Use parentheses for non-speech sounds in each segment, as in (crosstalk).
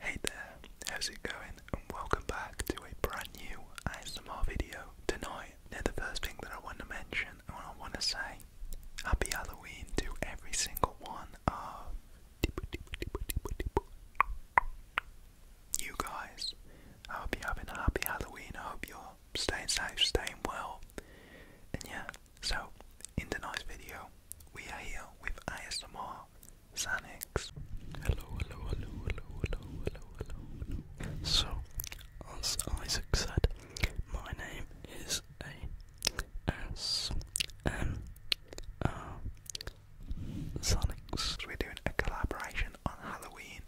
Hey there, how's it going? And welcome back to a brand new ASMR video tonight. Now the first thing that I want to mention and I want to say Happy Halloween to every single one you guys. I hope you're having a happy Halloween. I hope you're staying safe, staying well. And yeah, so in tonight's video, we are here with ASMR Xanax. hello, hello, hello, hello, hello, hello, hello. So, as Isaac said, my name is A S M R Sonics. We're doing a collaboration on Halloween.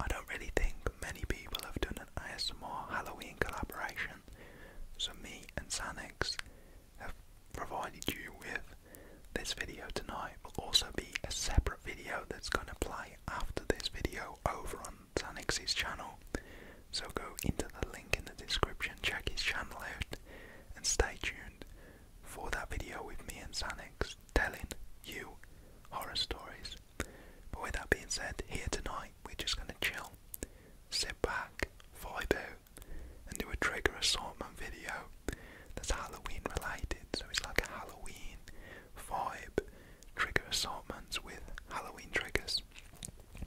I don't really think many people have done an ASMR Halloween collaboration, so me and Sonics have provided you with this video tonight. Will also be a separate video that's gonna play after this video over on Sonic's channel. So go into the link in the description, check his channel out, and stay tuned for that video with me and Xanax telling you horror stories. But with that being said, here tonight we're just going to chill, sit back, vibe out, and do a trigger assortment video that's Halloween related. So it's like a Halloween vibe trigger assortments with Halloween triggers.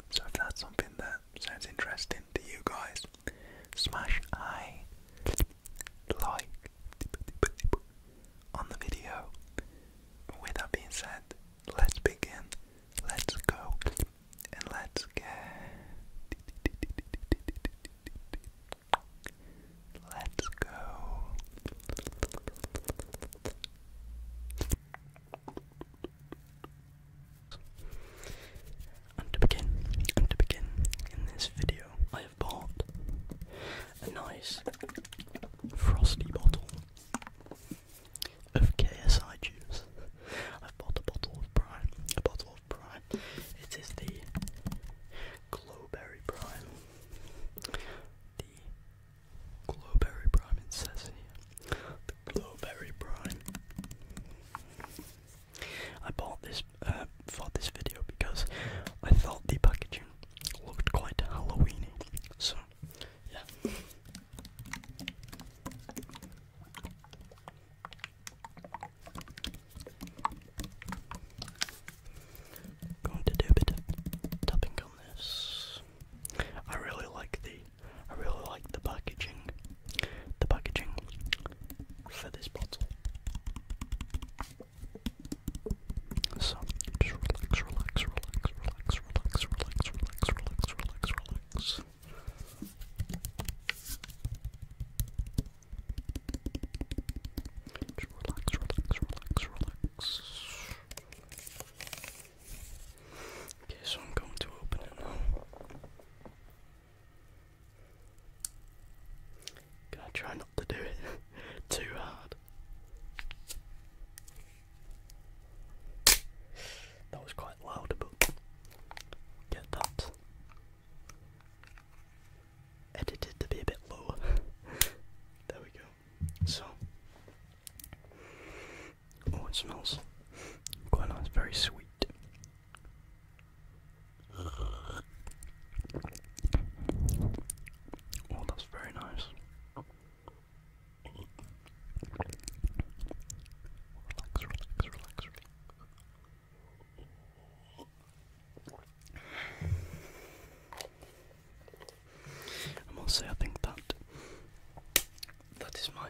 So if that's something that sounds interesting to you guys, Smash I like on the video. With that being said, let's begin, let's go, and let's get. Let's go. And to begin, and to begin, in this video, I have bought a nice frosty bottle of KSI juice. i bought a bottle of prime, a bottle of prime. It is the Glowberry Prime. The Glowberry Prime, it says The Glowberry Prime. I bought this uh, for this video because I thought the packaging looked quite Halloweeny. So, yeah. Going to do a tapping on this. I really like the I really like the packaging. The packaging for this bottle. So just relax, relax, relax, relax, relax, relax, relax, relax, relax, relax. Just relax, relax, relax, relax. Okay, so I'm going to open it now. Gonna try not to do it (laughs) too hard. That was quite loud, but get that edited to be a bit lower. (laughs) there we go. So, oh, it smells quite nice, very sweet. Oh, that's very nice. Relax, relax, relax, relax. I must say, I think that that is my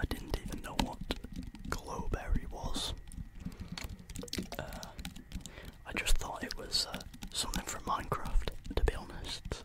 I didn't even know what glowberry was. I just thought it was something from Minecraft, to be honest.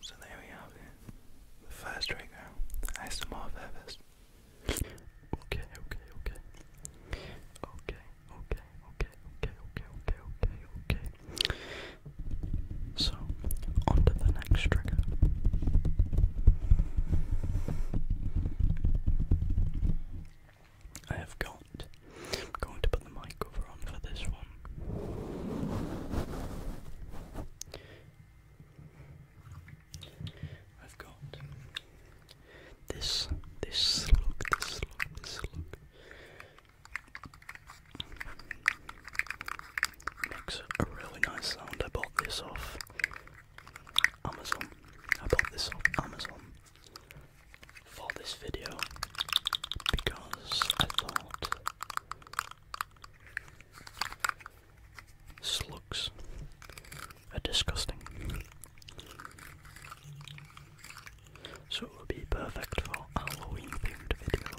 So there we have it. The first trigger, ASMR of Everest. Okay, okay, okay. Okay, okay, okay, okay, okay, okay, okay, okay. So, on the next trigger. I have got. I'm going to put the mic cover on for this one. I've got this, this slug, this slug, this slug. Makes a really nice sound. I bought this off Amazon. I bought this off Amazon for this video because I thought slugs are disgusting. So it will be perfect for Halloween themed video.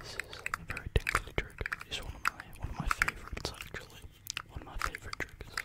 This is a very tingly trigger. It's one of my one of my favorites actually. One of my favorite triggers.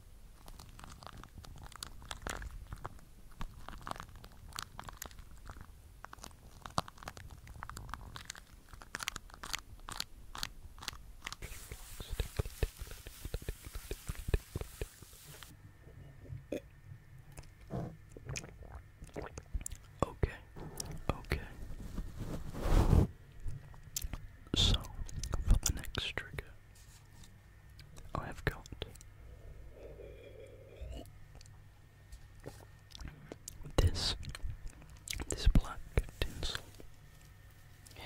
Okay, okay. So, for the next trigger, I have got this this black tinsel. Yeah.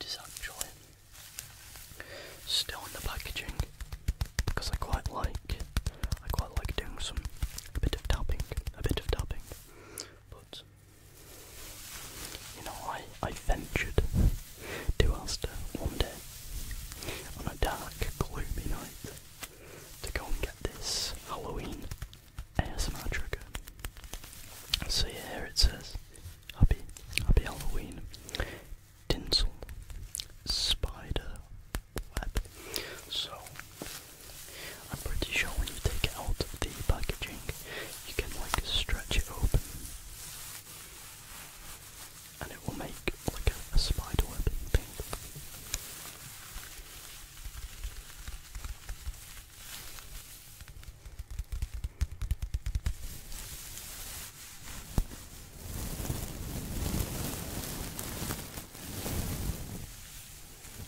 It is actually still in the packaging because I quite like I quite like doing some a bit of dabbing a bit of tapping, but you know, I, I ventured to Astor one day on a dark, gloomy night to go and get this Halloween air trigger. So yeah, here it says, Happy, happy Halloween, Dinsel spider web. So I'm pretty sure when you take it out of the packaging, you can like stretch it open and it will make like a, a spider web thing.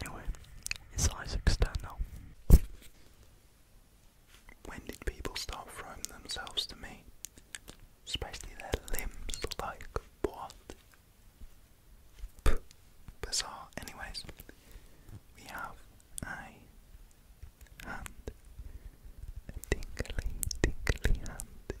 Anyway, it's Isaac's turn now. When did people start throwing themselves to me? Especially their limbs, like what? bizarre. Anyways, we have a hand. A tingly, tingly hand.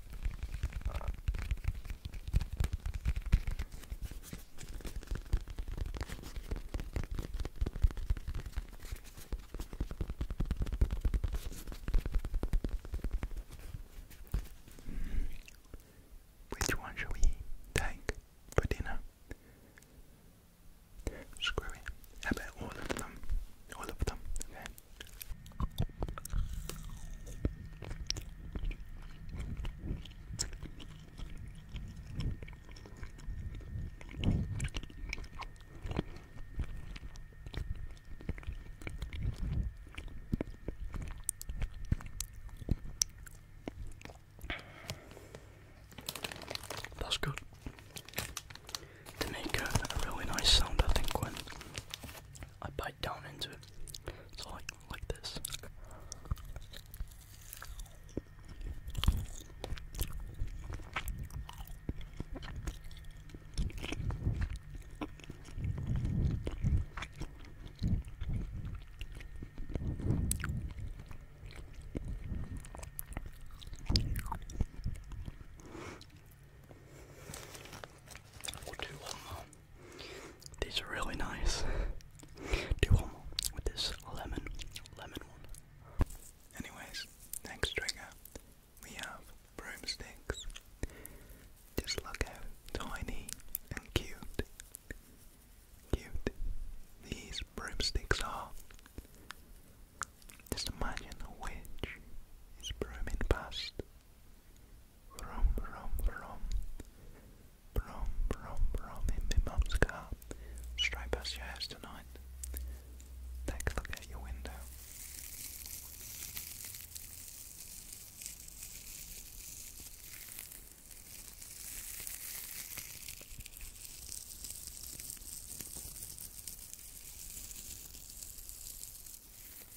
Which one should we take for dinner? Screw it. How about all of them? All of them, okay? That's good. To make a, really nice sound, I think, when I bite down into it. So like this. These are really nice. Do one more with this lemon, lemon one. Anyways, next trigger we have broomsticks. Just look how tiny and cute, cute these broomsticks are. Just imagine a witch is brooming past Vroom, vroom, vroom. Vroom, vroom, vroom in my mum's car. your house tonight. Take a look out your window.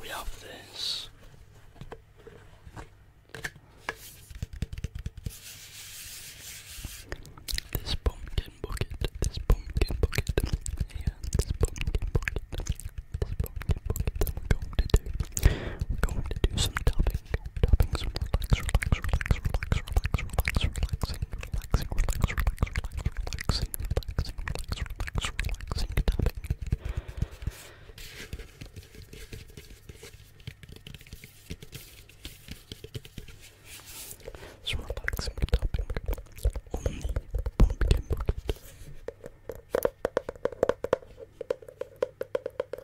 We have this. This pumpkin bucket, this pumpkin bucket, yeah, this pumpkin bucket, this pumpkin bucket we're going to do. We're going to do some tapping. Tappings, relax, relax, relax, relax, relax, relax, relaxing, relaxing, relax, relax, relax, relaxing, relaxing, relax, relax, relaxing, tapping. So relaxing, tapping on the pumpkin bucket.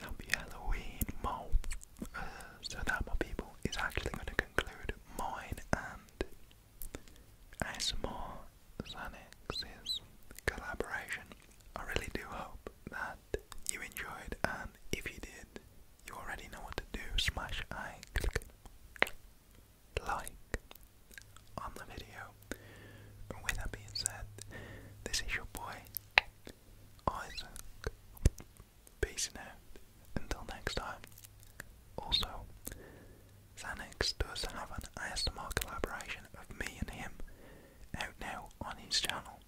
Happy Halloween, Mo. Uh, so that, my people, is actually going to conclude mine and AS ASMR Xanax's collaboration. I really do hope that you enjoyed, and if you did, you already know what to do. Smash I click like on the video with that being said, this is your boy Isaac. Peace out. Until next time. Also, Xanax does have an ASMR collaboration of me and him out now on his channel.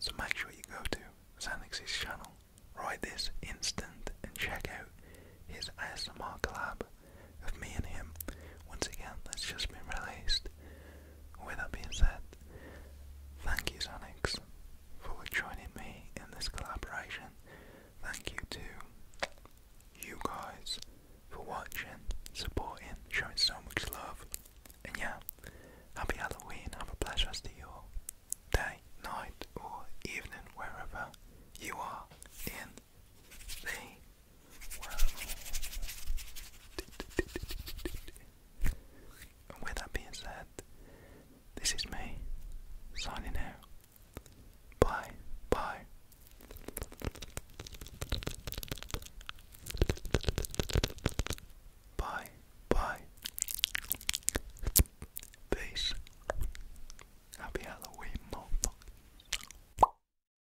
So make sure you go to Xanax's channel right this instant and check out his ASMR collab of me and him. Once again, that's just been released. With that being said, thank you, Xanax, for joining me in this collaboration. Thank you to you guys for watching, supporting, showing so much love. And yeah, happy Halloween. Have a blessed rest of your day, night, or evening, wherever you are in with that being said, this is me signing out. Bye, bye. Bye, bye. Peace. Happy Halloween, motherfucker.